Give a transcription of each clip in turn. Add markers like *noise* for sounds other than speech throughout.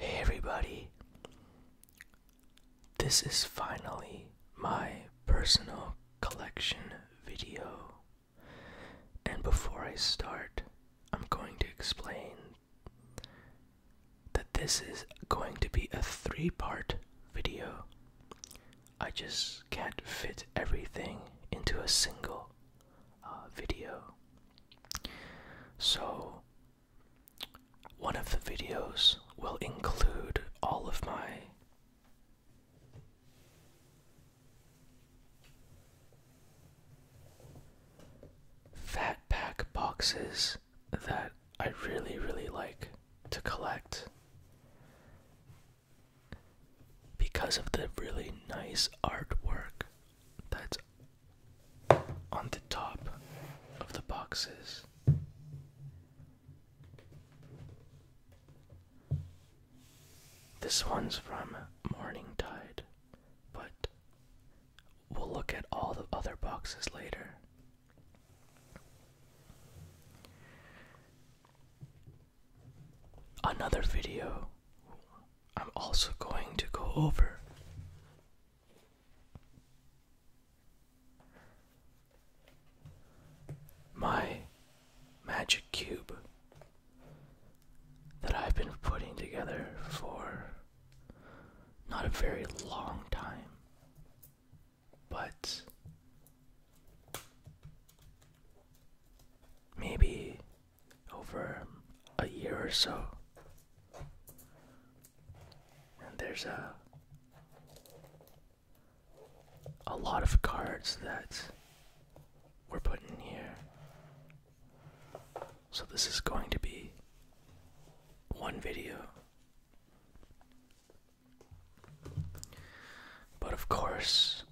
Hey everybody, this is finally my personal collection video. And before I start, I'm going to explain that this is going to be a three part video. I just can't fit everything into a single uh, video. So, one of the videos will include all of my fat pack boxes that I really, really like to collect because of the really nice artwork that's on the top of the boxes. This one's from Morning Tide, but we'll look at all the other boxes later. Another video I'm also going to go over my magic cube that I've been putting together for not a very long time, but maybe over a year or so. And there's a a lot of cards that we're putting here so this is going to be one video. But of course,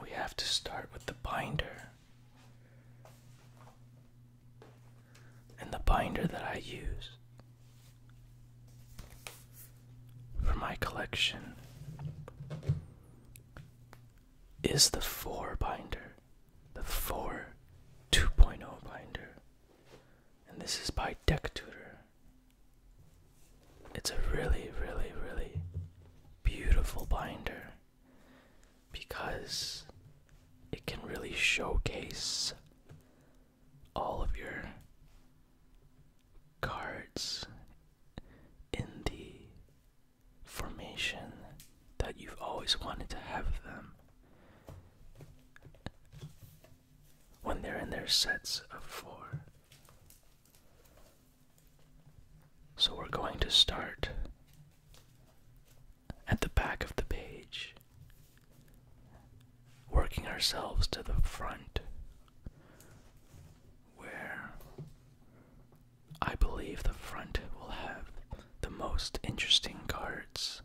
we have to start with the binder. And the binder that I use for my collection is the 4 binder the 4 2.0 binder. And this is by Deck Tutor. It's a really, really, really beautiful binder because it can really showcase all of your cards in the formation that you've always wanted to have them. When they're in their sets of four. So we're going to start at the back of the page, working ourselves to the front, where I believe the front will have the most interesting cards.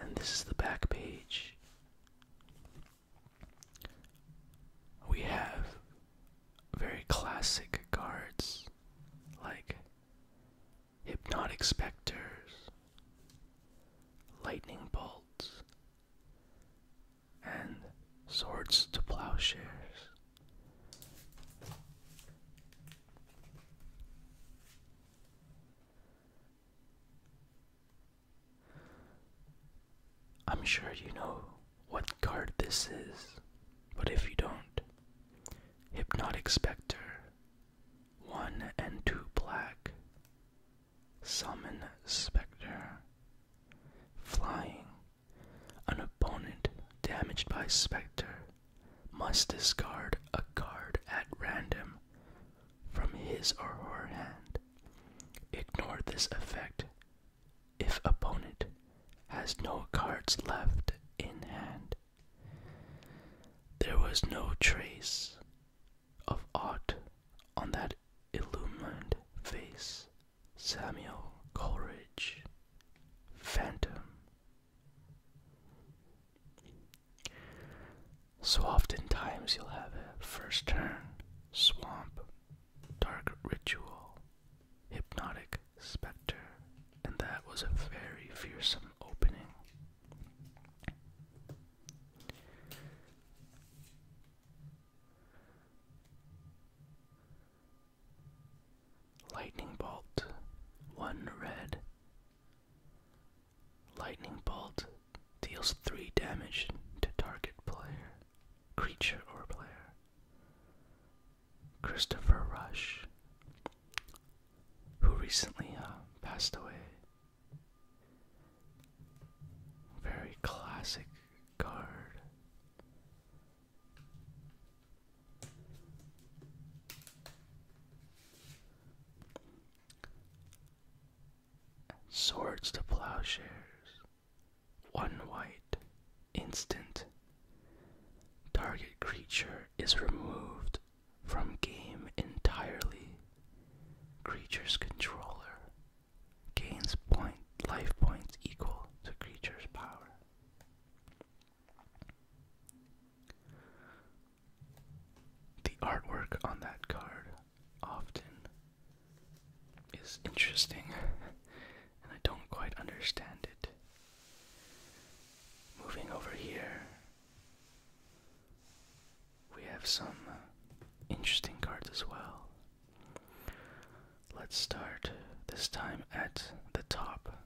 And this is the back page. We have very classic cards like Hypnotic Spectres, Lightning Bolts, and swords to plowshares. I'm sure you know what card this is, but if you don't, Hypnotic Spectre, 1 and 2 black, Summon Spectre, Flying, an opponent damaged by Spectre must discard a card at random from his or her hand. Ignore this effect if opponent has no cards left in hand. There was no trace of aught on that illumined face. Samuel Coleridge, Phantom. So oftentimes you'll have a first turn, swamp, dark ritual, hypnotic specter, and that was a very fearsome opening. Lightning Bolt, one red. Lightning Bolt deals three damage to target player, creature, or player. Christopher Rush, who recently uh, passed away. Very classic card. Swords to plowshares. One white. Instant. Target creature is removed from game entirely. Creature's controller gains point life points equal to creature's power. The artwork on that card often is interesting *laughs* and I don't quite understand it. Moving over here, we have some interesting cards as well. Let's start this time at the top.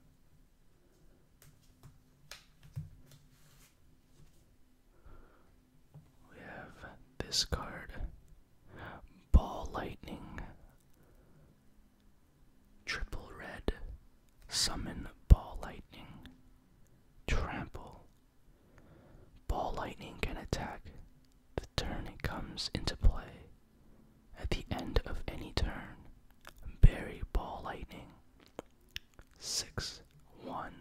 We have this card Ball Lightning, Triple Red, Summon Ball Lightning, Trample. Ball Lightning can attack the turn it comes into play. At the end of any turn, bury ball lightning. 6 1.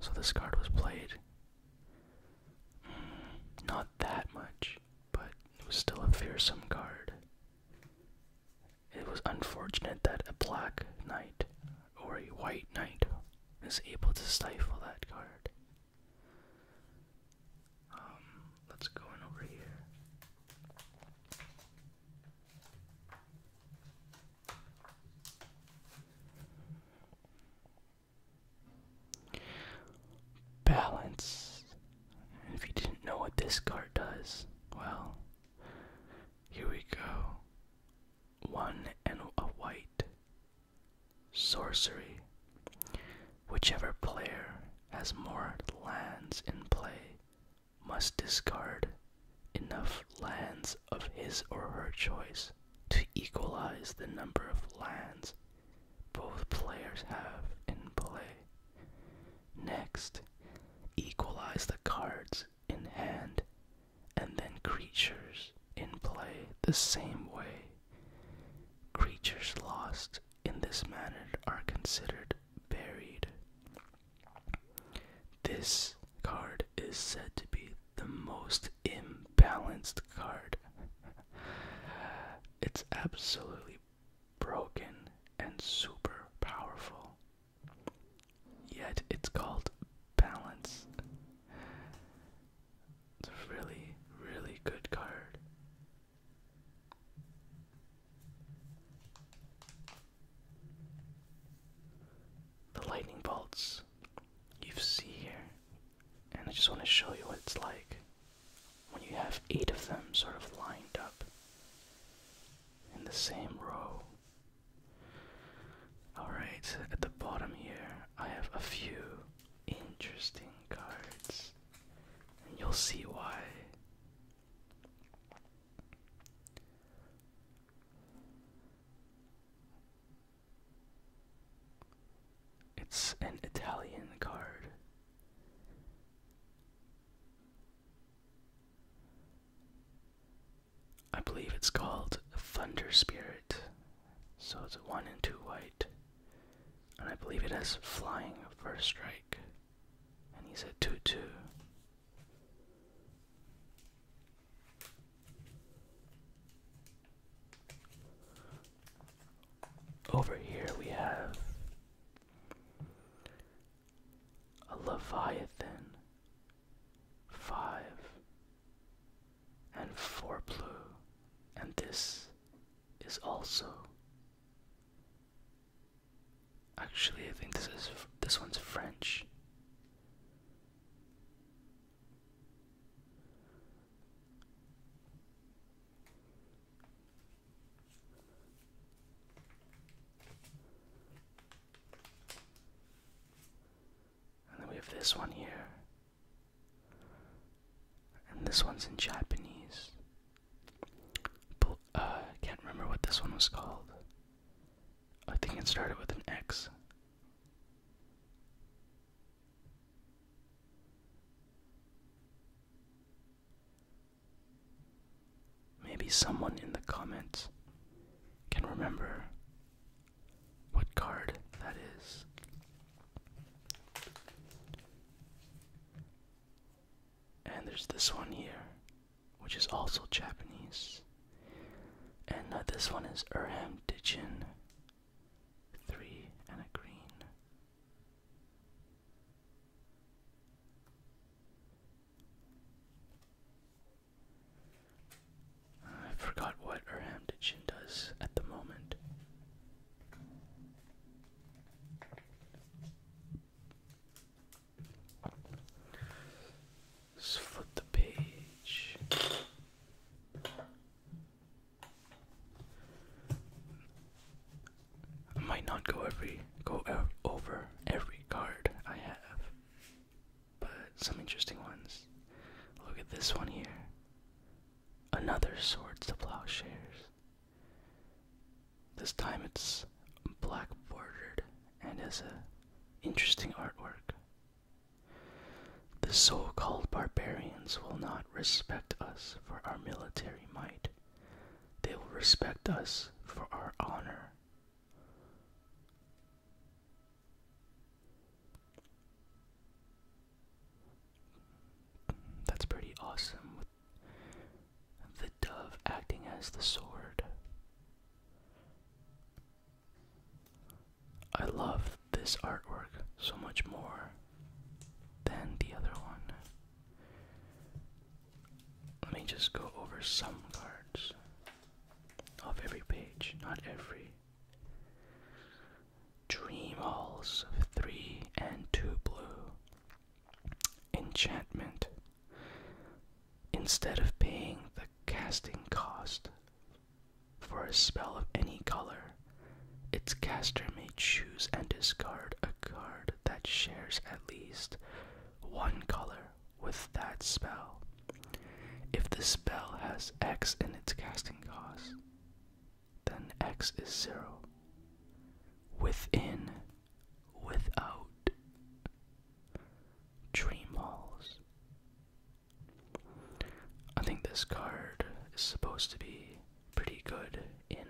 So this card was played. Mm, not that much, but it was still a fearsome card. It was unfortunate that a black knight or a white knight is able to stifle that card. Um, let's go in over here. Balance. if you didn't know what this card does, well, here we go one and a white. Sorcery. Whichever player has more lands in play must discard enough lands of his or her choice to equalize the number of lands both players have in play. Next, equalize the cards in hand, and then creatures in play the same way. Creatures lost in this manner are considered buried. This card is said to be the most imbalanced card. it's absolutely broken and super powerful. Yet it's called Balance. It's a really, really good card. The lightning bolts you see here, and I just want to show you what it's like when you have eight of them sort of lined up in the same row Alright, at the bottom here, I have a few interesting cards, and you'll see why. It's an Italian card. I believe it's called Thunder Spirit. So it's one and two white. And I believe it has flying first strike. And he's a 2 2. Over here we have a Leviathan five, and four blue, and this is also. Actually, I think this is this one's French. And then we have this one here. And this one's in Japanese. I uh, can't remember what this one was called. I think it started with an X. Maybe someone in the comments can remember what card that is. And there's this one here, which is also Japanese. And uh, this one is Urham Dichin. Three and a green. I forgot what Erhamdition does at the moment. Let's flip the page. I might not go every go over every card I have but some interesting ones. Look at this one here. Another Swords to Plowshares. This time it's black bordered and has a interesting artwork. The so called barbarians will not respect us for our military might. They will respect us for our honor. That's pretty awesome with the dove acting as the sword. I love this artwork so much more than the other one. Let me just go over some cards of every page, not every. Dream Halls of 3 and 2 Blue. Enchantment. Instead of paying the casting cost for a spell of any color, its caster may choose and discard a card that shares at least one color with that spell. If the spell has X in its casting cost, then X is zero. Within, without, dream walls. I think this card is supposed to be pretty good in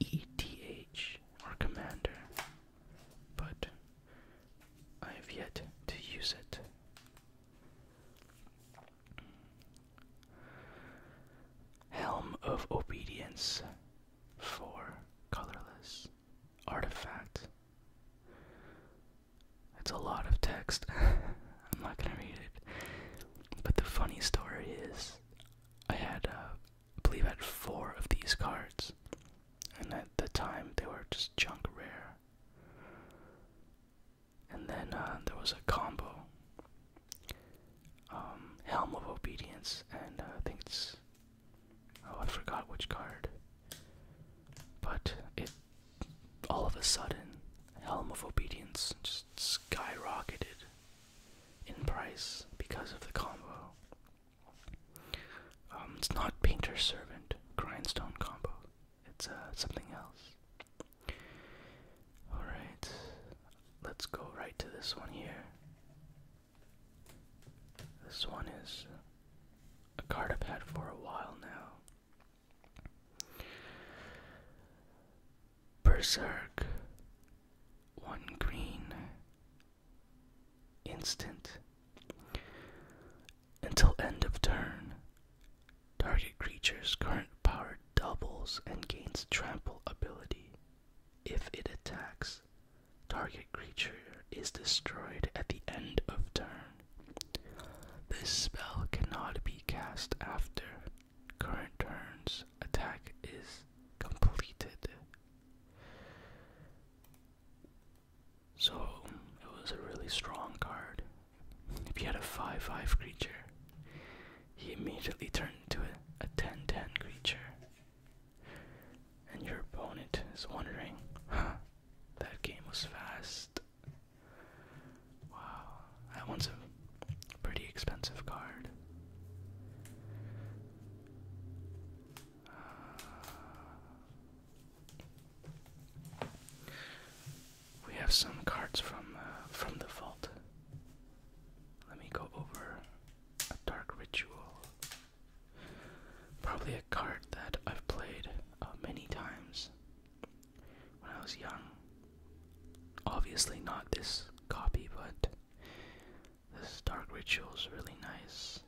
ETH or Commander, but I have yet to use it. Helm of Obedience 4 Colorless Artifact. That's a lot of text. *laughs* I'm not gonna read it. But the funny story is, I had, uh, believe, I four of these cards, and at the time they were just junk rare. And then uh, there was a combo um, Helm of Obedience, and uh, I think it's. Oh, I forgot which card. But it. All of a sudden, Helm of Obedience just skyrocketed in price because of the combo. Um, it's not painter servant grindstone combo. It's uh, something else. All right, let's go right to this one here. This one is a card I've had for a while now. Berserk. One green. Instant until end of turn, target creature's current power doubles and gains trample ability. If it attacks, target creature is destroyed at the end of turn. This spell cannot be cast after current turn's attack is completed. So it was a really strong card. If you had a 5 5 creature, he immediately turned into a 10 10 creature. And your opponent is wondering, huh, that game was fast. Wow, that one's a pretty expensive card. Uh, we have some cards from uh, from the vault. Let me go over a dark ritual. Probably a card that I've played uh, many times when I was young. Obviously not this copy, but this dark ritual is really nice.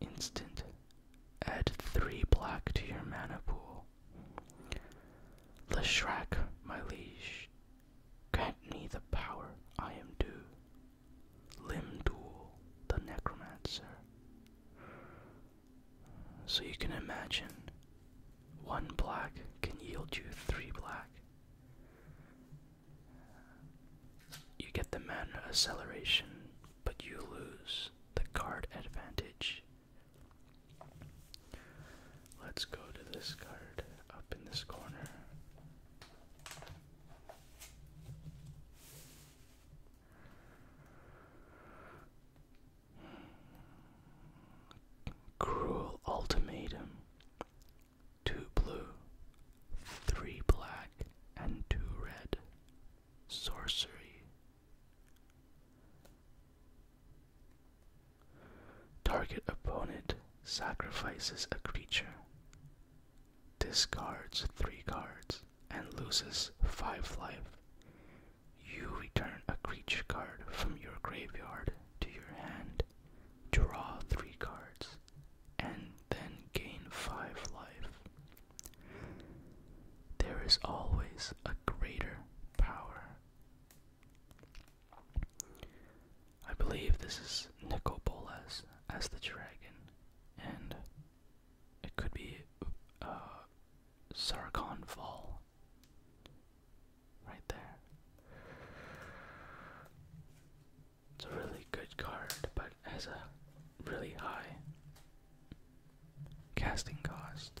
Instant. Add three black to your mana pool. The Shrek, my liege, grant me the power I am due. Limdul, the necromancer. So you can imagine, one black can yield you three black. You get the mana acceleration, but you lose the card advantage. Let's go to this card up in this corner. Cruel Ultimatum. Two blue, three black, and two red sorcery. Target opponent sacrifices a creature, discards three cards, and loses five life. You return a creature card from your graveyard to your hand, draw three cards, and then gain five life. There is always a greater power. I believe this is Nicobolas as the dragon, and it could be uh, Fall right there. It's a really good card, but has a really high casting cost.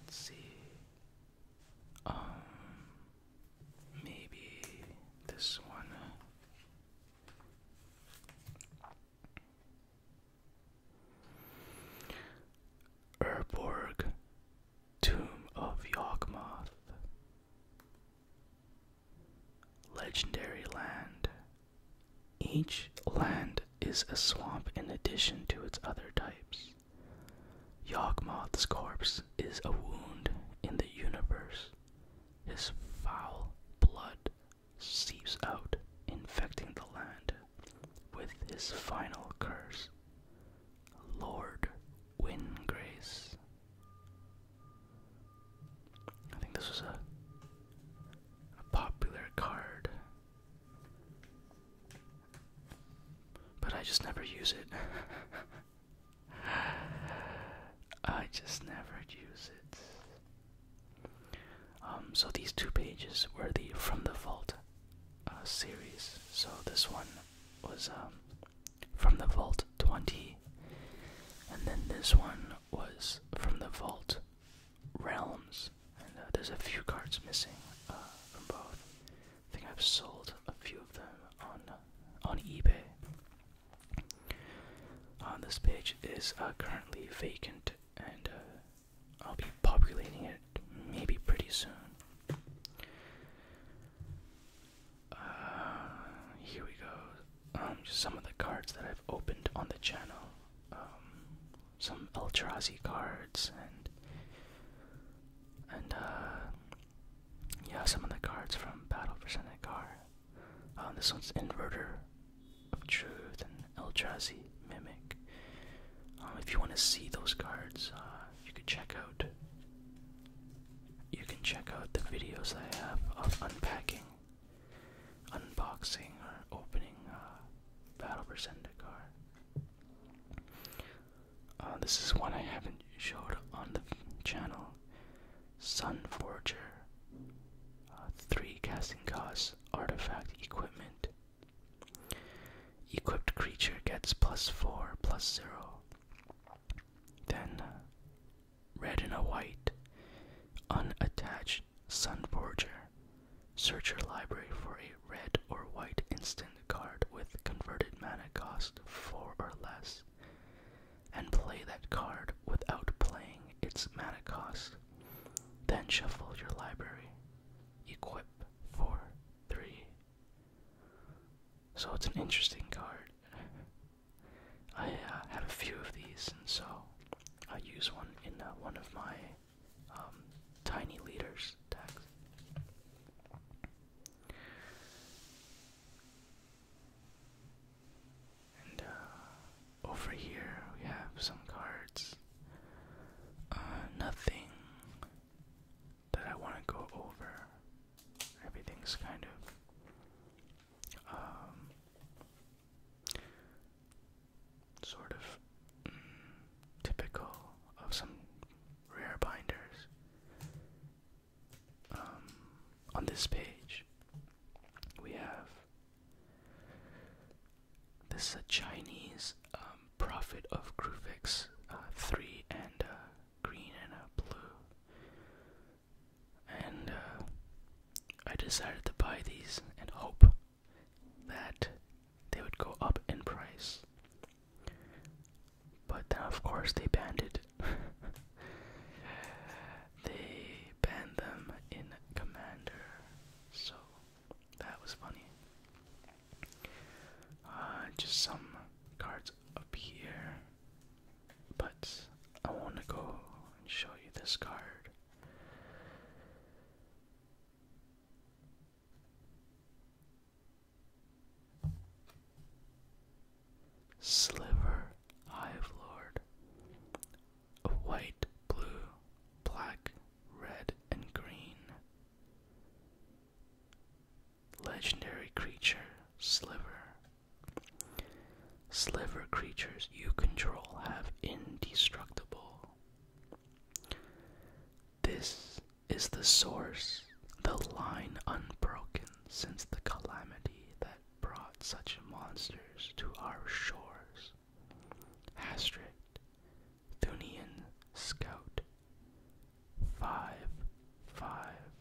Let's see. Um, maybe this one. Urborg Tomb of Yawgmoth. Legendary land. Each land is a swamp in addition to its other types. Yawgmoth's corpse is a wound in the universe. His foul blood seeps out, infecting the land with his final curse. Lord Wingrace. I think this was a, a popular card. But I just never use it. *laughs* I just never use it. Um, so these two pages were the From the Vault series. So this one was um, from the Vault 20, and then this one was from the Vault Realms. And uh, there's a few cards missing uh, from both. I think I've sold a few of them on on eBay. On this page is uh, currently vacant, and I'll be populating it maybe pretty soon. Uh, here we go. Um, some of the cards that I've opened on the channel. Um, some El cards and and uh, yeah, some of the cards from Battle for Senegar. Um, this one's Inverter of Truth and El Trazi Mimic. if you want to see those cards, uh, you can check out you can check out the videos I have of unpacking, unboxing, or opening uh, Battle Berserkar. Uh, this is one I haven't showed on the channel. Sun Forger, uh, three casting costs, artifact equipment, Equipped creature gets plus 4, plus 0. Then, red and a white, unattached Sun Forger. Search your library for a red or white instant card with converted mana cost 4 or less, and play that card without playing its mana cost. Then shuffle your library. Equip 4, 3, so it's an interesting card. I uh, have a few of these, and so I use one in uh, one of my um, tiny leaders decks. And uh, over here we have some cards. nothing that I want to go over. Everything's kind of, um, sort of mm, typical of some rare binders. Um, on this page, we have this is uh, a Chinese um, um, profit of Gruvix, uh, three and uh, green and a blue. And uh, I decided to buy these and hope that they would go up in price. But then, of course, they banned it. *laughs* they banned them in Commander, so that was funny. Uh, just some cards up here. But I want to go and show you this card. Sliver Hive Lord. White, blue, black, red, and green. Legendary creature, Sliver. Sliver creatures you control have indestructible. This is the source, the line unbroken since the calamity that brought such monsters to our shores. Hastrict, Thunian Scout five five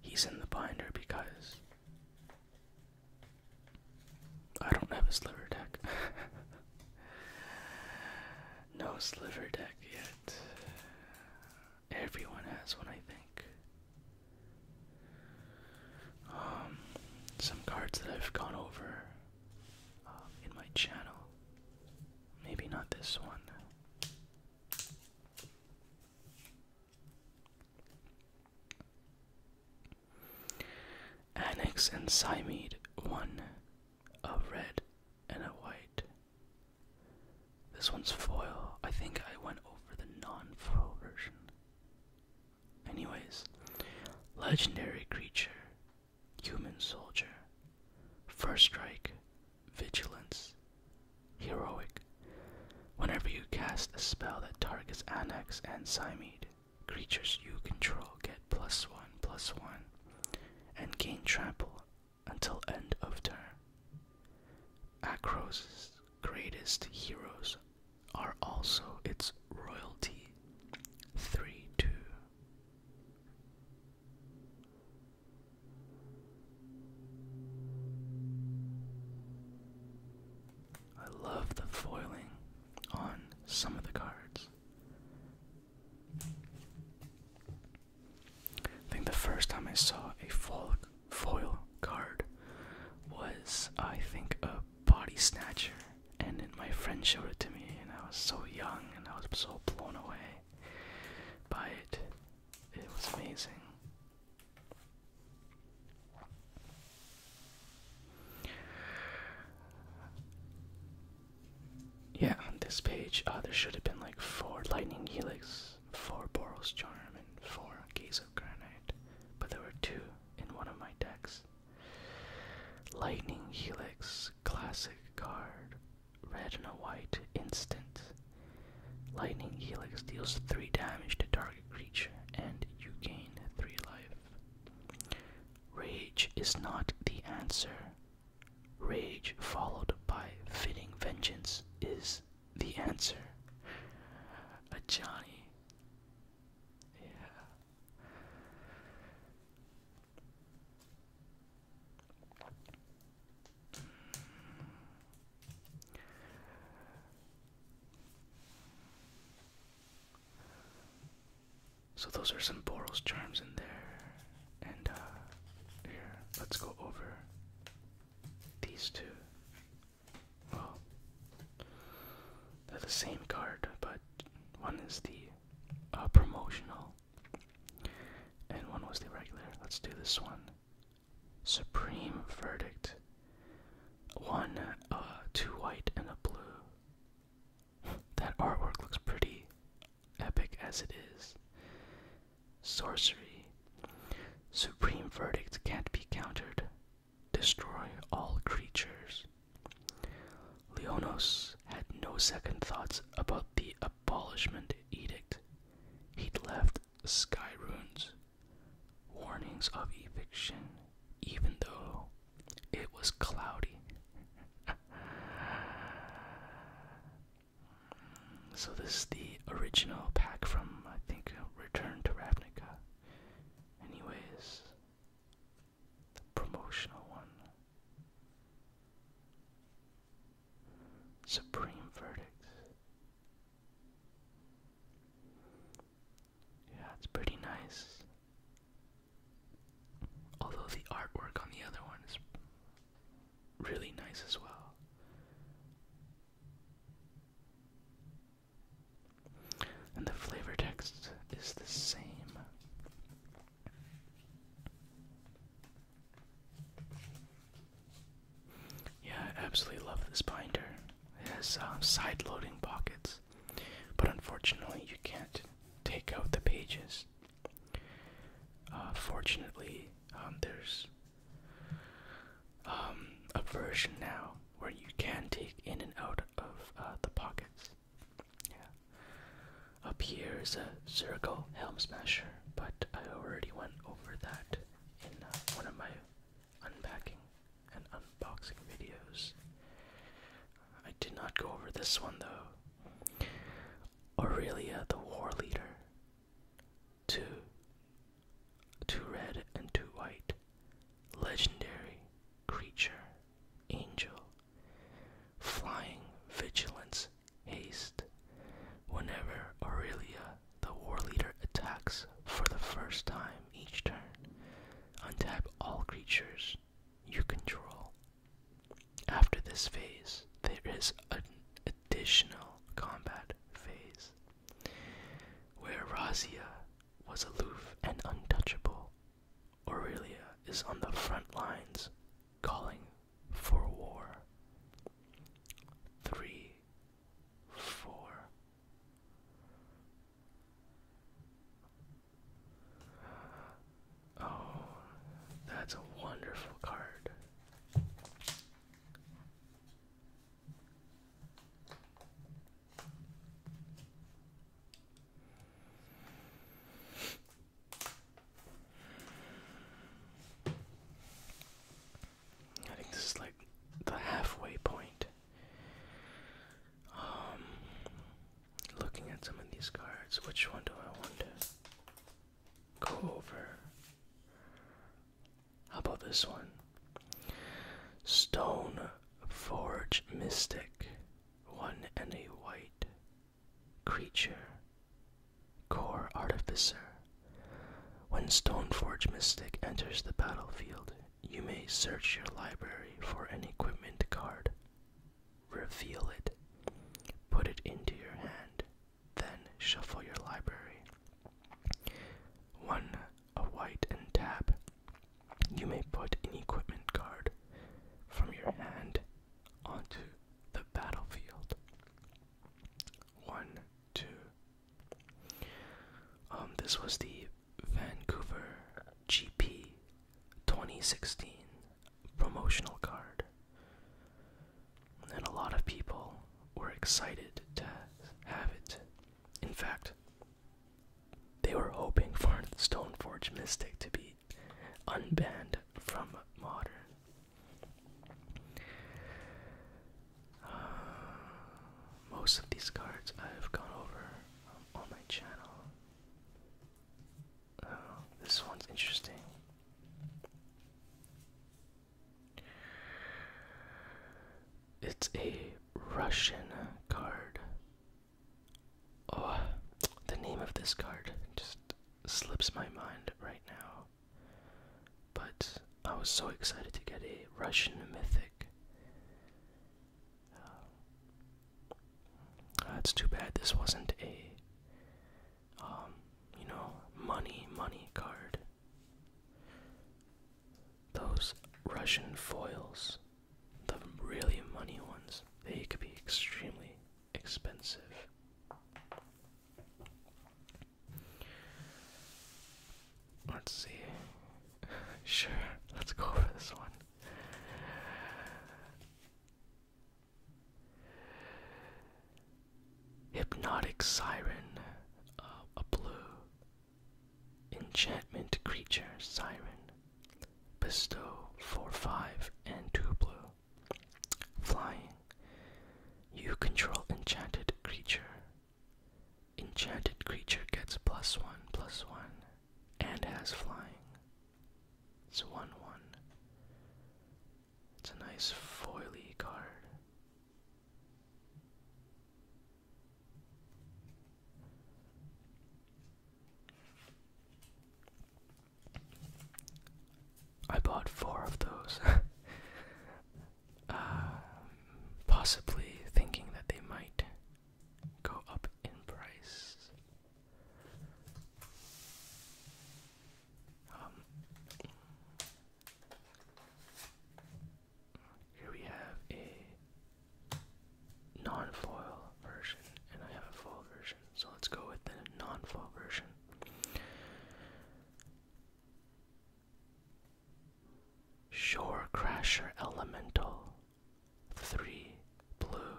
He's in the binder because I don't have a sliver deck. *laughs* no sliver deck yet. Everyone has one, I think. Um, some cards that I've gone over um, in my channel. Maybe not this one. Annex and Cymede, one, a red and a white. This one's foil. I think I went over the non foil version. Anyways, legendary creature, human soldier, first strike, vigilance, heroic. Whenever you cast a spell that targets Annex and Simeed, creatures you control get plus one plus one and gain trample until end of turn. Akros' greatest heroes are also its royalty. 3 2. I love the foiling on some of the cards. I think the first time I saw a folk foil card was, I think, a body snatcher. And then my friend showed it to me, and I was so young and I was so blown away by it. It was amazing. Yeah, on this page, uh, there should have been like four lightning helix four Boros Charm, and four Gaze of Granite, but there were two in one of my decks. Lightning Helix, classic card, red and white, instant. Lightning Helix deals 3 damage to target creature, and you gain 3 life. Rage is not the answer. Rage, followed by fitting vengeance, is the answer. A Johnny. Yeah. So those are some Boros charms in there. And uh here, let's go over these two. Well, they're the same card, but one is the uh, promotional and one was the regular. Let's do this one. Supreme Verdict. One, uh, two white and a blue. *laughs* that artwork looks pretty epic as it is sorcery. Supreme verdict can't be countered. Destroy all creatures. Leonos had no second thoughts about the abolishment edict. He'd left sky runes, warnings of eviction, even though it was cloudy. *laughs* So this is the original pack from I think Return to Ravnica. Anyways, the promotional one. Supreme Verdicts. Yeah, it's pretty nice. Although the artwork on the other one is really nice as well. And the flavor text is the same. Yeah, I absolutely love this binder. It has um, side loading pockets, but unfortunately, you can't take out the pages. Uh, fortunately, um, there's um, a version now where you can take in and out of uh, the pockets. Yeah. Up here is a circle helm smasher, but I already went over that in uh, one of my unpacking and unboxing videos. I did not go over this one though. Aurelia the War Leader two, two red and two white, legendary creature, angel, flying vigilance, haste. Whenever Aurelia, the war leader, attacks for the first time each turn, untap all creatures you control. After this phase, there is a additional combat phase, where Razia was aloof and untouchable. Aurelia is on the front lines calling for war. Three, four. Oh, that's a wonderful card. I think this is like the halfway point. Um, looking at some of these cards, which one do I want to go over? How about this one? Stone Forge Mystic. One and a white. Creature. Core Artificer. When Stone Forge Mystic enters the battlefield, you may search your library for an equipment card. Reveal it. Put it into your hand. Then shuffle your library. 1. A white and tap. You may put an equipment card from your hand onto the battlefield. 1, 2. Um, this was the Vancouver GP 2016 promotional card and a lot of people were excited to have it. In fact, they were hoping for Stoneforge Mystic to be unbanned from modern. Uh, most of these cards I've gone over on my channel. Uh, this one's interesting. It's a Russian card. Oh, the name of this card just slips my mind right now. But I was so excited to get a Russian mythic. Uh, that's too bad this wasn't a, um, you know, money, money card. Those Russian foils, the really money ones, they could be extremely expensive. Let's see. *laughs* Sure, let's go for this one. Hypnotic Siren, uh, a blue. Enchantment Creature, Siren. Bestow 4 5 and 2 blue. Flying. You control enchanted creature. Enchanted creature gets plus 1 plus 1 and has flying. It's 1 1. It's a nice foily card. I bought four of those, *laughs* um, possibly thinking that they might go up in price. Um, here we have a non-foil version, and I have a foil version, so let's go with the non-foil version. Shorecrasher Elemental 3 Blue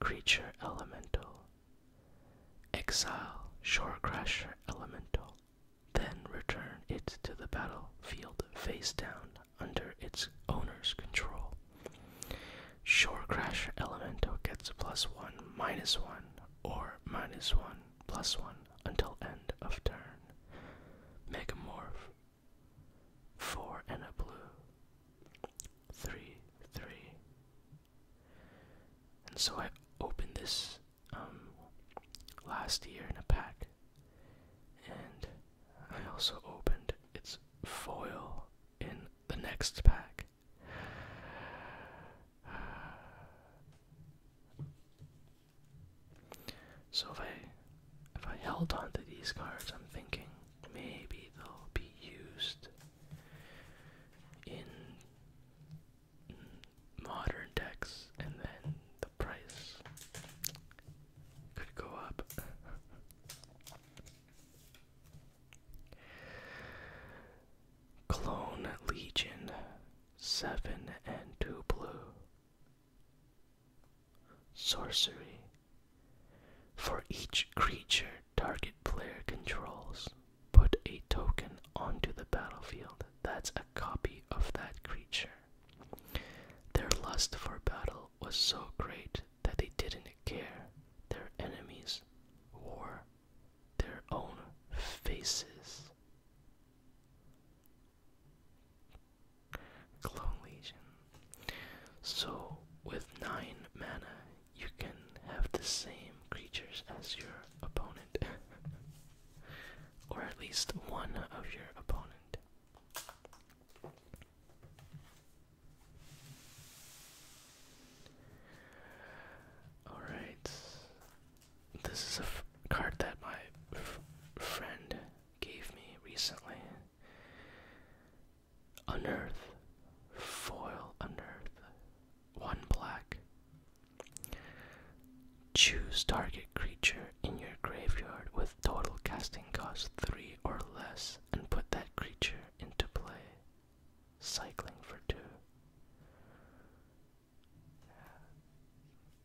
Creature Elemental Exile Shore Shorecrasher Elemental, then return it to the battlefield face down under its owner's control. Shore Shorecrasher Elemental gets plus one, minus one, or minus one, plus one until end of turn. Megamorph. Four and a blue. Three, three. And so I opened this um, last year in a pack. And I also opened its foil in the next pack. *sighs* So if I if I held onto these cards, I'm thinking maybe they'll be used in modern decks, and then the price could go up. *laughs* Clone Legion, seven and two blue. Sorcery. For each creature target player controls, Put a token onto the battlefield that's a copy of that creature. Their lust for battle was so great that they didn't care their enemies or their own faces. Clone Legion. So, with 9 mana, you can have the same creatures as your opponent, *laughs* or at least one of your opponent. Alright, this is a f card that my friend gave me recently. Unearth, foil unearth, one black, Choose target creature in your graveyard with total casting cost 3 or less and put that creature into play. Cycling for 2.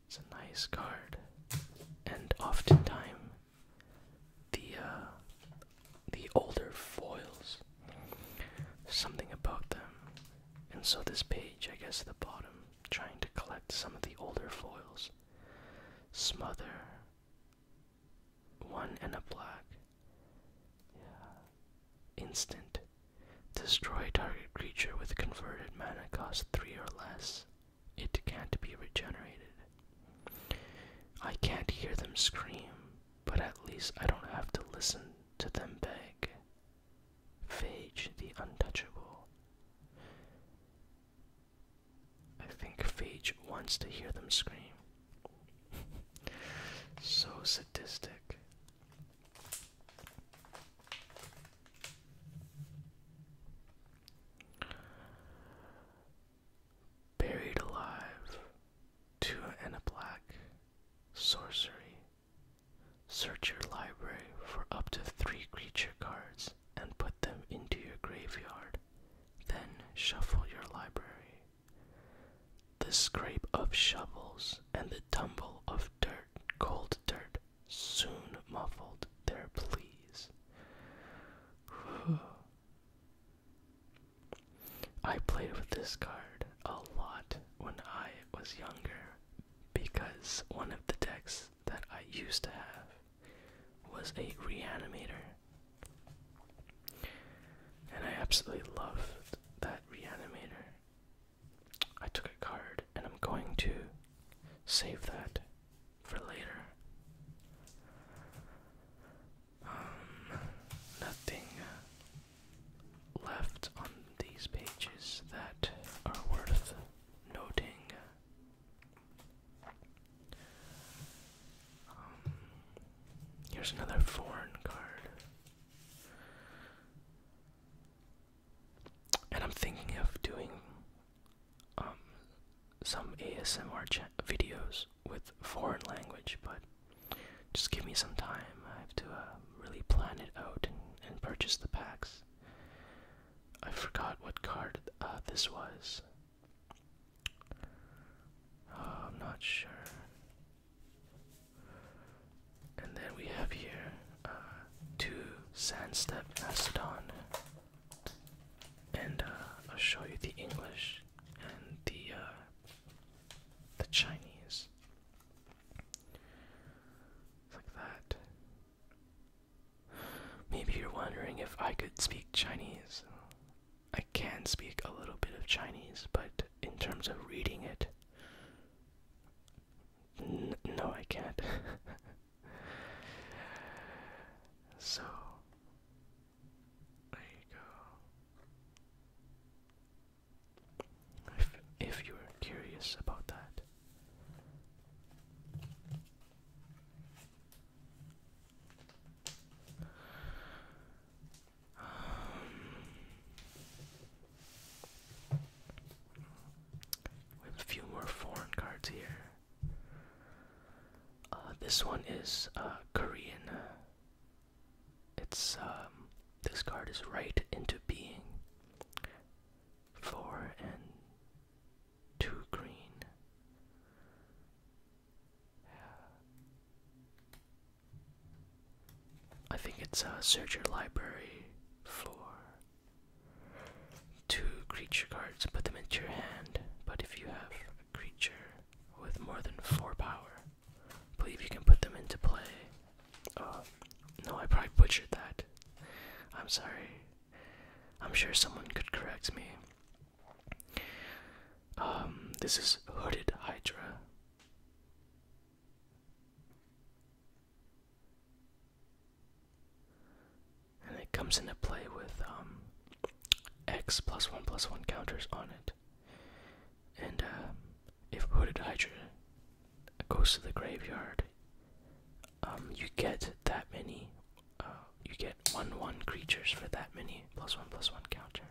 It's a nice card, and oftentimes the uh, the older foils something about them. And so this page, I guess the bottom, trying to collect some of the older foils. Smother. One and a black. Yeah. Instant. Destroy target creature with converted mana cost three or less. It can't be regenerated. I can't hear them scream, but at least I don't have to listen to them beg. Phage the Untouchable. I think Phage wants to hear them scream. *laughs* so sadistic. Buried alive to an a black sorcery Search your library for up to three creature cards and put them into your graveyard. Then shuffle your library. The scrape of shovels and the tumble of dirt, cold dirt, soon muffled their pleas. *sighs* I played with this card a lot when I was younger because one of the decks that I used to have was a reanimator. And I absolutely loved that reanimator. I took a card and I'm going to save that for later. Um, nothing left on these pages that are worth noting. Um, here's another foreign card. And I'm thinking of doing um, some ASMR videos with foreign language, but just give me some time. I have to uh, really plan it out and, purchase the packs. I forgot what card uh, this was. Uh, I'm not sure. And then we have here two Sandstep Mastodon. And I'll show you the English and the the Chinese like that. Maybe you're wondering if I could speak Chinese. I can speak a little bit of Chinese, but in terms of reading it, no, I can't. *laughs* so, there you go. If, you're curious about that. we have a few more foreign cards here. Uh, this one is uh, Korean uh, it's um, this card is right into being. Four and two green. I think it's a uh, search your library for two creature cards, put them into your hand. But if you have a creature with more than four power, believe you can put them into play. Uh, no, I probably butchered that. I'm sorry. I'm sure someone could correct me. Um, this is Hooded Hydra. And it comes into play with um, X plus 1 plus 1 counters on it. And uh, if Hooded Hydra goes to the graveyard, um, you get that many. Uh, you get one one creatures for that many plus one plus one counters.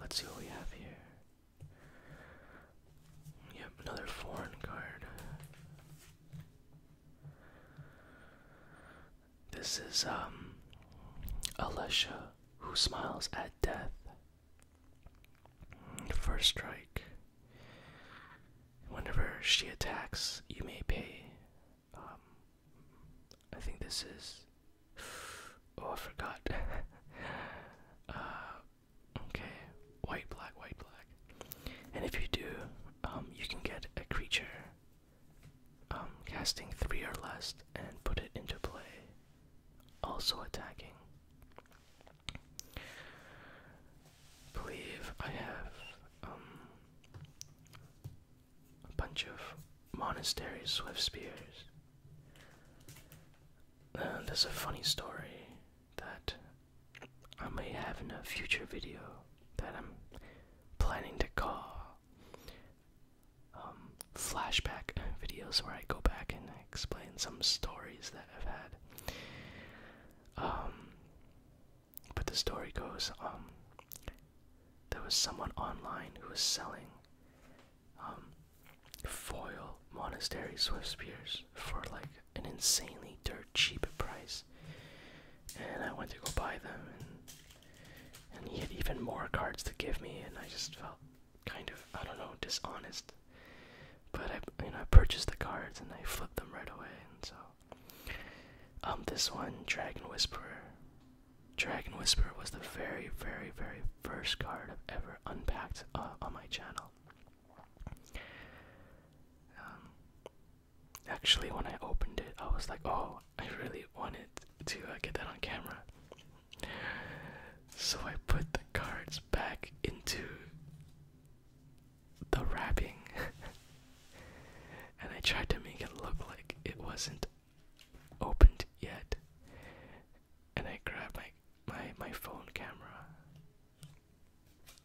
Let's see what we have here. Yep, another foreign card. This is um Alesha who smiles at death. First strike. Whenever she attacks, you may pay. Um, I think this is. Oh, I forgot. *laughs* Uh, Okay, white, black, white, black. And if you do, um, you can get a creature um, casting three or less and put it into play. Also attacking. Believe I have um, a bunch of monastery swift spears. there's a funny story that I may have in a future video that I'm planning to call um, flashback videos where I go back and explain some stories that I've had. Um, but the story goes, um, there was someone online who was selling um, foil monastery swift spears for like an insanely dirt cheap price. And I went to go buy them, and, he had even more cards to give me, and I just felt kind of, I don't know, dishonest. But I, you know, purchased the cards and I flipped them right away, and so. Um, this one, Dragon Whisperer. Dragon Whisperer was the very, very, very first card I've ever unpacked uh, on my channel. Um, actually, when I opened it, I was like, oh, I really wanted to uh, get that on camera. So I put the cards back into the wrapping *laughs* and I tried to make it look like it wasn't opened yet. And I grabbed my my phone camera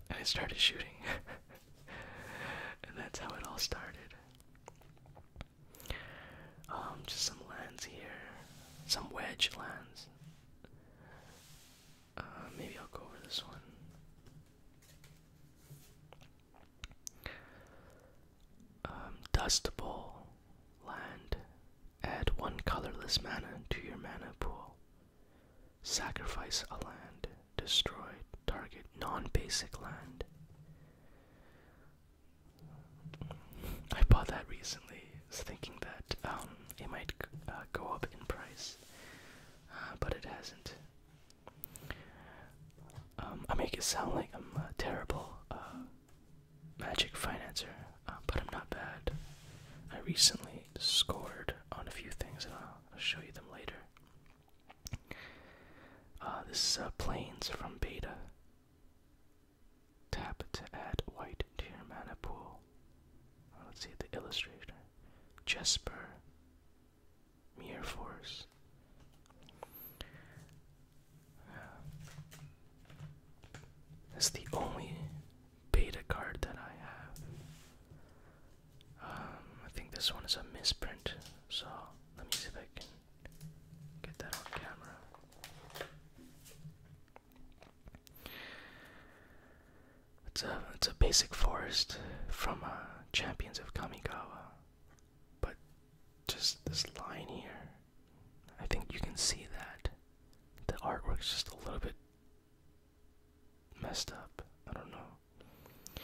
and I started shooting. *laughs* and that's how it all started. Um, just some lands here, some wedge lands. Uh, maybe I'll go over this one. Um, Dust Bowl land. Add one colorless mana to your mana pool. Sacrifice a land. Destroy target non basic land. I bought that recently, thinking that um, it might uh, go up in price, uh, but it hasn't. Um, I make it sound like I'm a terrible uh, magic financier, but I'm not bad. I recently scored on a few things, and I'll, show you them later. Uh, this is uh, Planes from Beta. Tap to add white to your mana pool. Uh, let's see the illustrator. Jesper. Mirror Force. that's the only beta card that I have. Um, I think this one is a misprint, so let me see if I can get that on camera. It's a it's a basic forest from uh, Champions of Kamigawa, but just this line here. I think you can see that the artwork's just a little bit messed up. I don't know.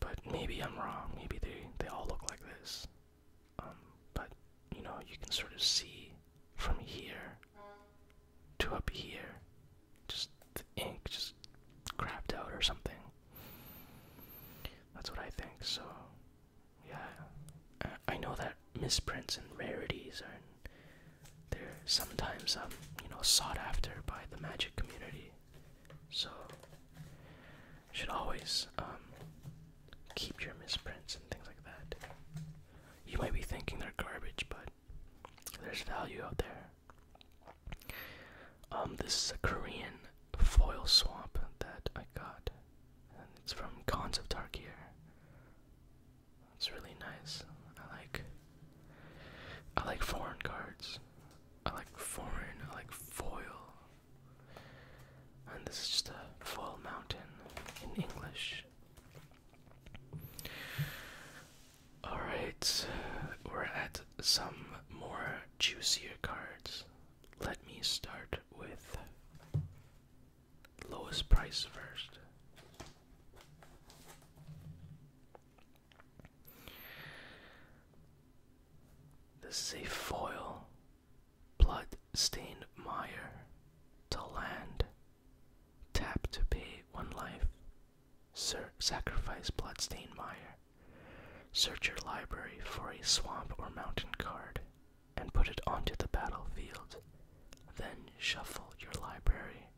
But maybe I'm wrong. Maybe they they all look like this. Um, but you know, you can sort of see from here to up here, just the ink just crapped out or something. That's what I think. So, yeah, I know that misprints and rarities are they're sometimes um you know sought after by the magic community. So should always um, keep your misprints and things like that. You might be thinking they're garbage, but there's value out there. Um, this is a Korean foil swap that I got, and it's from Cons of Tarkir. It's really nice. I like I like foreign cards. I like foreign, I like foil. And this is just a foil mountain in English. Alright, we're at some more juicier cards. Let me start with lowest price first. This is a foil blood stained mire to land. Tap to pay one life. Sir sacrifice bloodstained mire. Search your library for a swamp or mountain card and put it onto the battlefield then shuffle your library.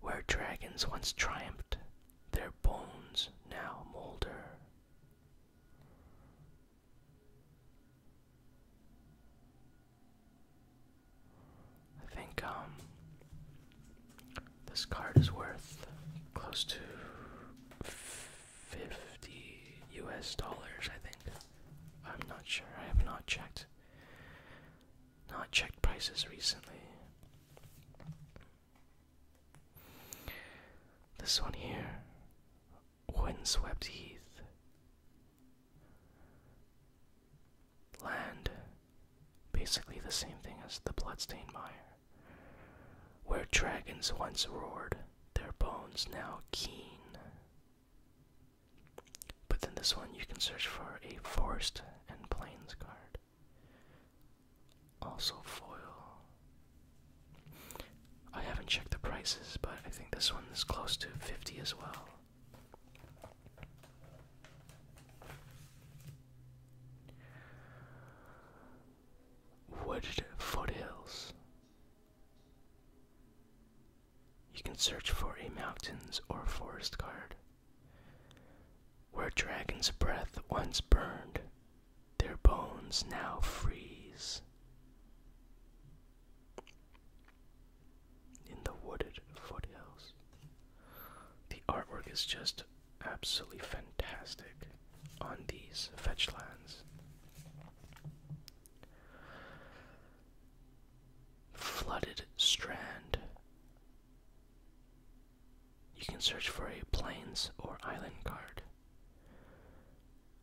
Where dragons once triumphed, their bones now molder. I think um, this card is worth close to 50 US dollars, I think. I'm not sure. I have not checked. Not checked prices recently. This one here, windswept heath, land, basically the same thing as the bloodstained mire, where dragons once roared, their bones now keen. But then this one you can search for a forest and plains card. Also foil. I haven't checked the prices, but I think this one is close to 50 as well. Wooded foothills. You can search for a mountains or forest card. Where dragon's breath once burned, their bones now freeze. In the wooded foothills. The artwork is just absolutely fantastic on these fetch lands. Flooded Strand. You can search for a plains or island card.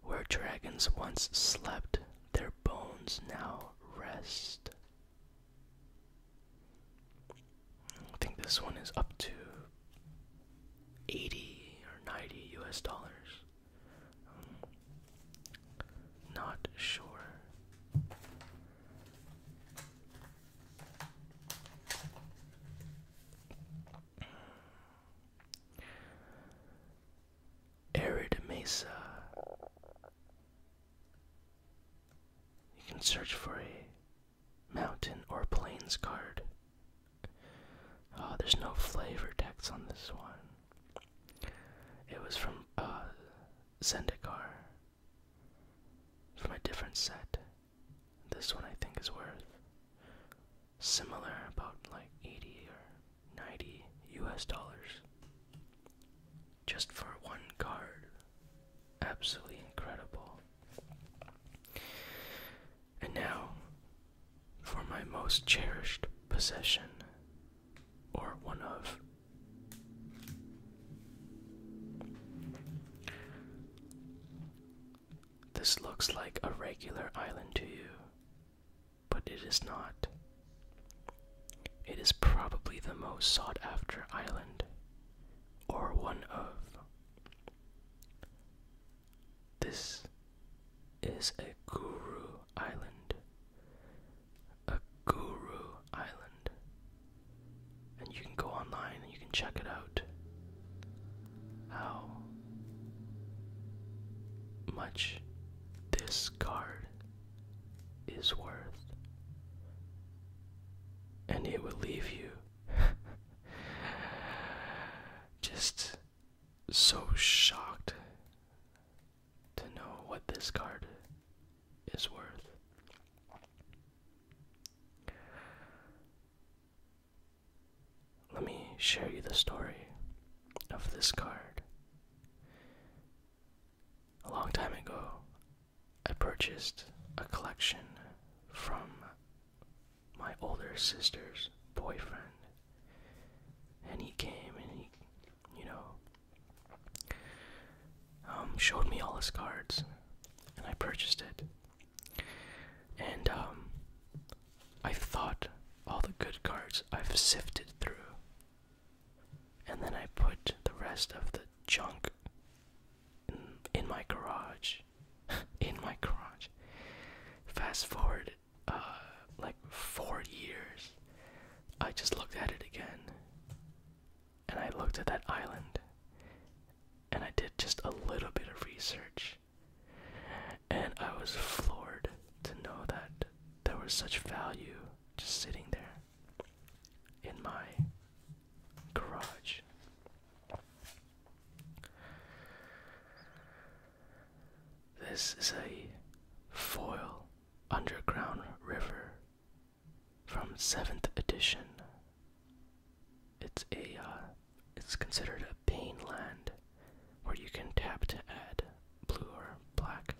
Where dragons once slept, their bones now rest. I think this one is up to 80 or 90 US dollars not sure. Arid Mesa. You can search for a mountain or plains card. Oh, there's no flavor text on this one. It was from uh, Zendikar. From a different set. This one I think is worth similar, about like 80 or 90 US dollars. Just for one card. Absolutely incredible. And now, for my most cherished possession, or one of. This looks like a regular island to you, but it is not. It is probably the most sought after island, or one of. This is a Guru Island guru Island. And you can go online and you can check it out. How much this card is worth. And it will leave you *laughs* just so shocked to know what this card is worth. Let me share you the story of this card. A long time ago, I purchased a collection from my older sister's boyfriend and he came and he, you know, um, showed me all his cards, and I purchased it. And um, I thought all the good cards I've sifted through, and then I put the rest of the junk in my garage. *laughs* in my garage. Fast forward uh, like four years, I just looked at it again. And I looked at that island. And I did just a little bit of research. And I was floored to know that there was such value just sitting there in my garage. This is a foil underground river from 7th edition. It's a uh, it's considered a pain land where you can tap to add blue or black.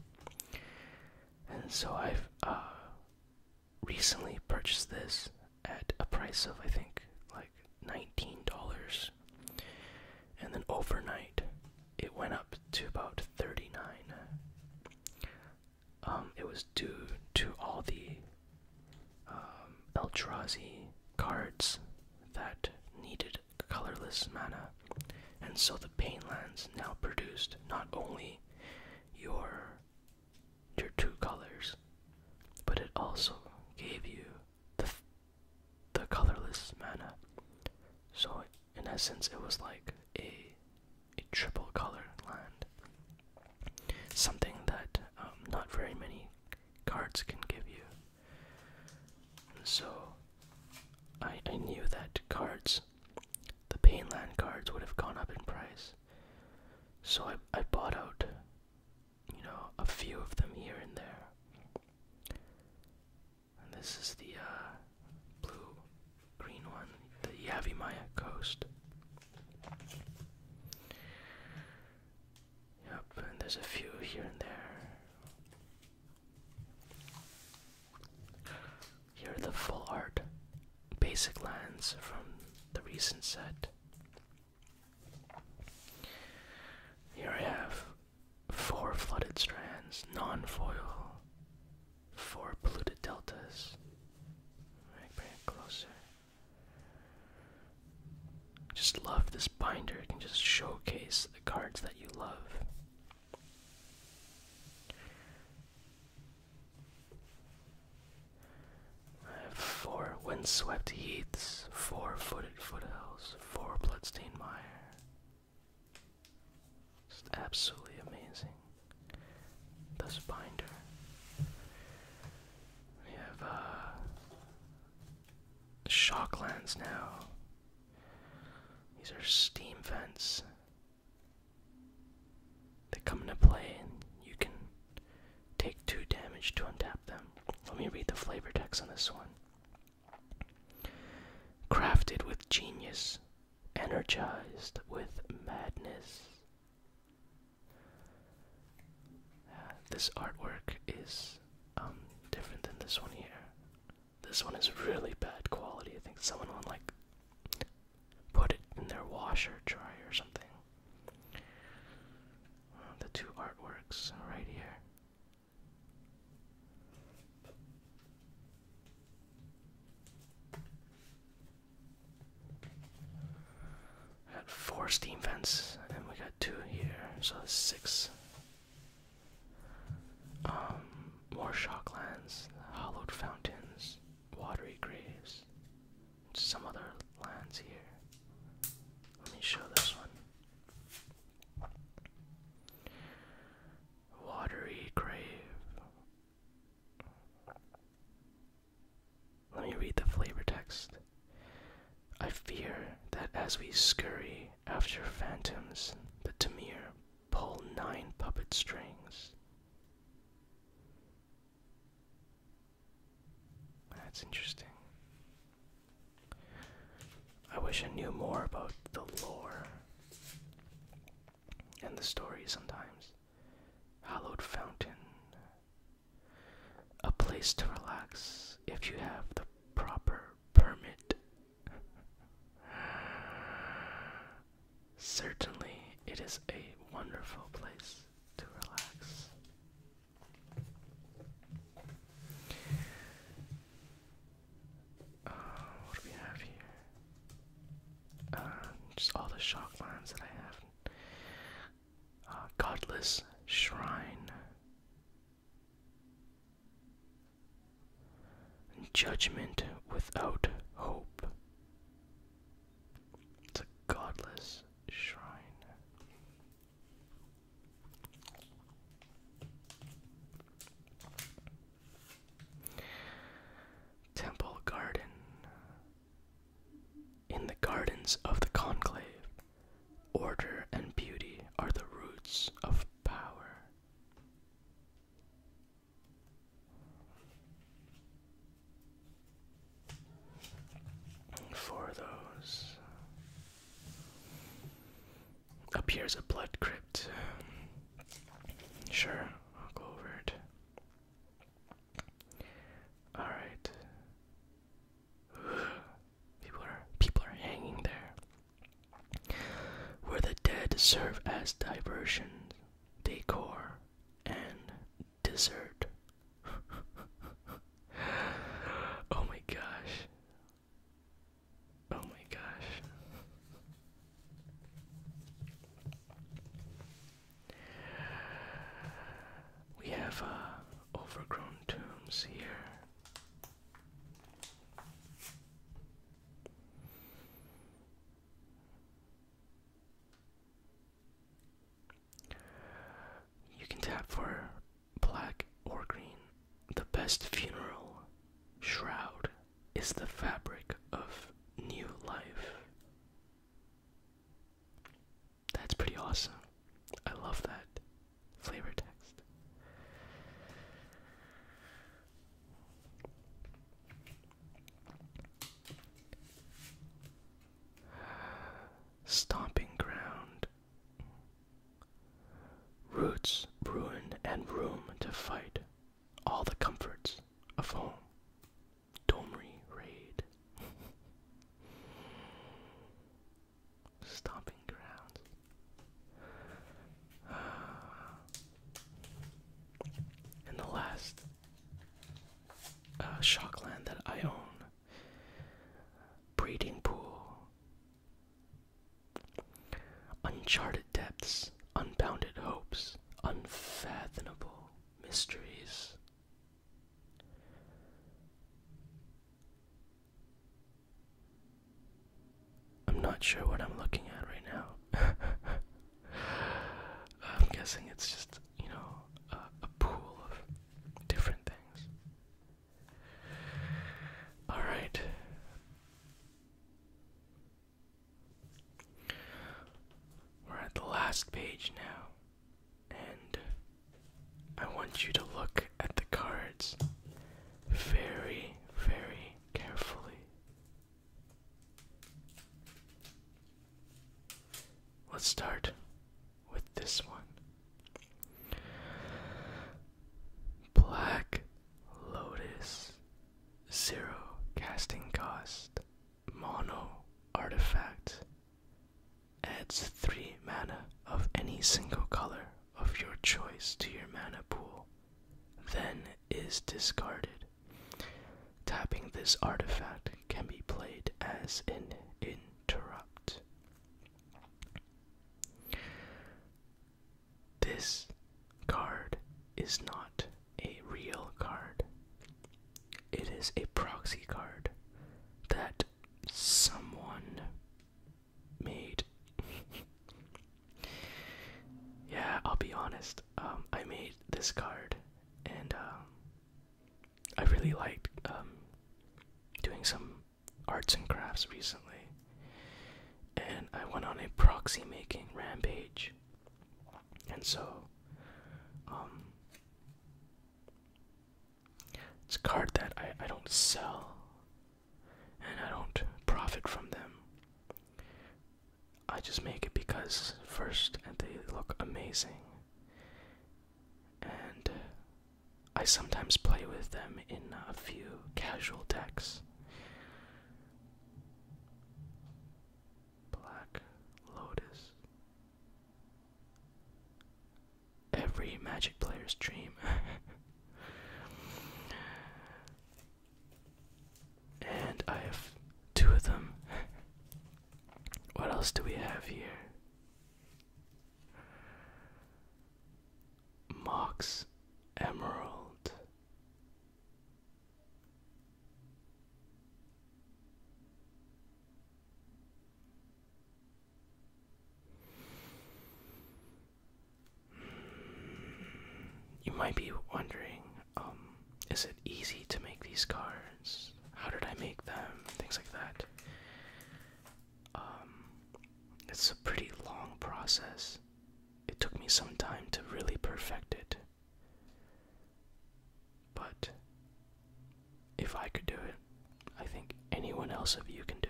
And so I've uh, recently purchased this at a price of I think like $19 and then overnight, it went up to about 39. Um, it was due to all the um, Eldrazi cards that needed colorless mana. And so the Painlands now produced not only your your two colors, but it also gave you the the colorless mana. So in essence, it was like a a triple color land, something that um, not very many cards can give you. so I I knew that cards, the pain land cards, would have gone up in price. So I I bought out, you know, a few of them here and there. And this is the uh, blue green one, the Yavimaya Coast. Yep, and there's a few here and there. Here are the full art basic lands from the recent set. Here I have four flooded strands, non-foil, four polluted deltas. Right, bring closer. Just love this binder. It can just showcase the cards that you love. I have four windswept heaths, four footed foothills, four bloodstained mire, it's absolutely amazing. This binder. We have uh, shock lands now. These are steam vents. They come into play and you can take two damage to untap them. Let me read the flavor text on this one. Crafted with genius, energized with madness. this artwork is um, different than this one here. This one is really bad quality. I think someone will like put it in their washer dryer or something. Uh, the two artworks right here. Got four steam vents, and we got two here, so that's six. Um, more shocklands, hollowed fountains, watery graves, some other lands here. Let me show this one watery grave. Let me read the flavor text. I fear that as we scurry after phantoms, the Tamir pull nine puppet strings. That's interesting. I wish I knew more about the lore and the stories. sometimes. Hallowed Fountain. A place to relax if you have the proper permit. Certainly, it is a wonderful place to relax. Uh, what do we have here? Uh, just all the shock lines that I have. Uh, godless Shrine. Judgment without hope. It's a godless shrine. Temple Garden. In the gardens of the conclave, order and beauty are the roots of power. For those up here's a blood crypt. Sure, I'll go over it. Alright. *sighs* People are people are hanging there. Where the dead serve as diversion, decor, and dessert. *laughs* oh my gosh. Oh my gosh. We have uh, overgrown tombs here. You can tap for black or green the best funeral shroud is the fabric of new life. That's pretty awesome. I love that flavor text. *sighs* Stomping ground. Roots, ruin, and room to fight. All the comforts of home. Domri raid. Stomping grounds. *sighs* and the last uh, shockland that I own, breeding pool, Uncharted depths, unbounded hopes, unfathomable mysteries. I'm not sure what I'm looking at right now. *laughs* I'm guessing it's just, you know, a, pool of different things. All right. We're at the last page now, and I want you to look at the cards very, very carefully. Let's start with this one. Black Lotus, zero casting cost, mono artifact. Adds three mana of any single color of your choice to your mana pool, then is discarded. Tapping this artifact can be played as an interrupt. This card is not a real card. It is a proxy card that someone made. *laughs* yeah, I'll be honest. Um, I made this card, and uh, I really liked um, doing some arts and crafts recently, and I went on a proxy making rampage. And so, um, it's a card that I, I don't sell and I don't profit from them. I just make it because, first, they look amazing. And I sometimes play with them in a few casual decks. Black Lotus. Every Magic player's dream. *laughs* and I have two of them. What else do we have here? Mox Emerald. You might be wondering, um, is it easy to make these cards? How did I make them? Things like that. Um, it's a pretty long process it took me some time to really perfect it. But if I could do it, I think anyone else of you can do it.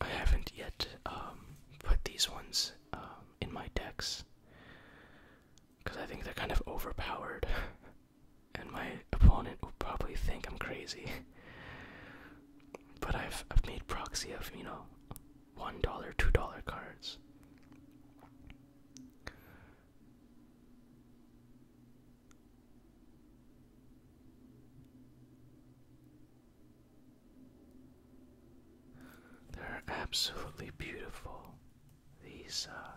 I haven't yet um, put these ones um, in my decks because I think they're kind of overpowered, *laughs* and my opponent will probably think I'm crazy. but I've I've made proxy of you know one dollar, two dollar cards. They're absolutely beautiful. These uh,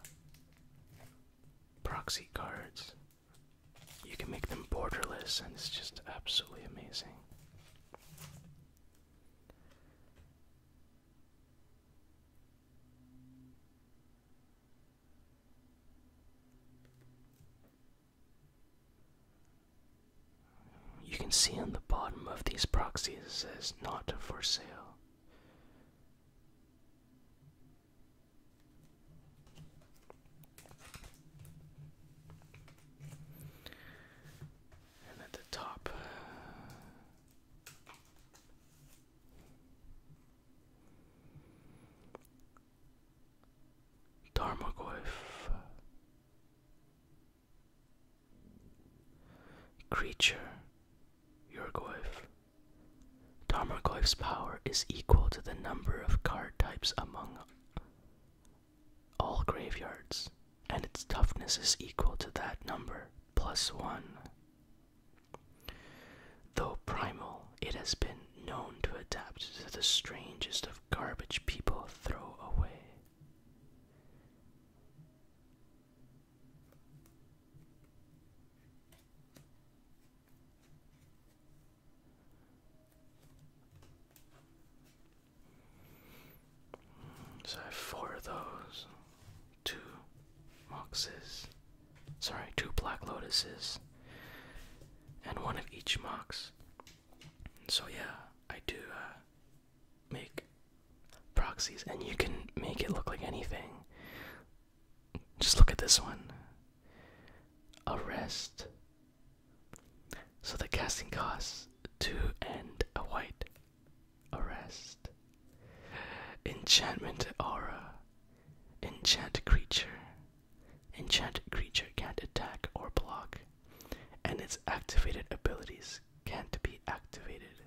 proxy cards. You can make them borderless, and it's just absolutely amazing. You can see on the bottom of these proxies it says not for sale. And at the top, uh, Dharmagoyf Creature, Yurgoyf. Tarmogoyf's power is equal to the number of card types among all graveyards, and its toughness is equal to that number plus one. Though primal, it has been known to adapt to the strangest of garbage people throw away. So I have four of those, two moxes, sorry, two black lotuses, and one of each mox. So yeah, I do uh, make proxies, and you can make it look like anything. Just look at this one. Arrest. So the casting cost two and a white. Arrest. Enchantment aura. Enchant creature. Enchanted creature can't attack or block and its activated abilities can't be activated.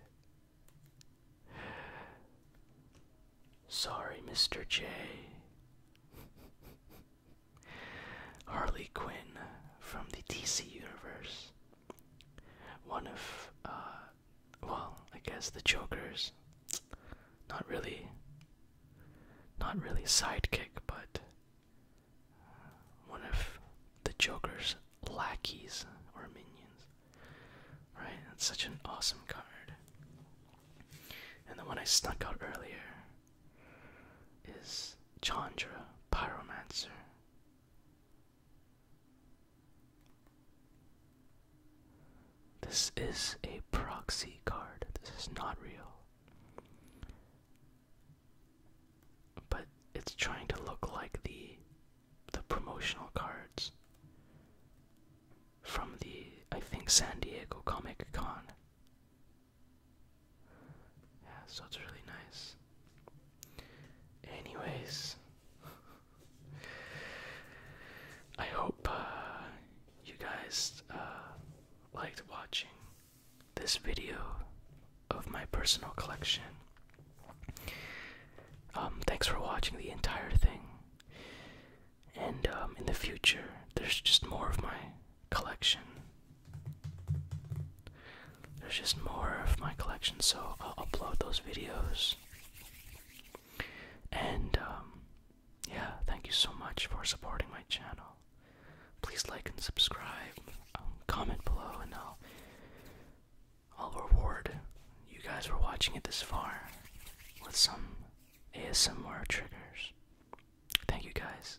Sorry, Mr. J. *laughs* Harley Quinn from the DC Universe. One of, uh, well, I guess the Joker's. Not really. Not really sidekick, but one of the Joker's lackeys or minions. Right? That's such an awesome card. And the one I snuck out earlier is Chandra Pyromancer. This is a proxy card. This is not real but it's trying to look like the the promotional cards from the I think San Diego Comic Con. Yeah, so it's really nice. Anyways, *laughs* I hope uh, you guys uh, liked watching this video of my personal collection. Um, thanks for watching the entire thing. And um, in the future, there's just more of my collection. There's just more of my collection, so I'll upload those videos. And um, yeah, thank you so much for supporting my channel please like and subscribe, um, comment below, and I'll I'll reward you guys for watching it this far with some ASMR triggers. Thank you guys.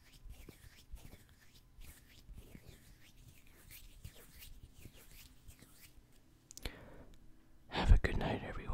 Have a good night, everyone.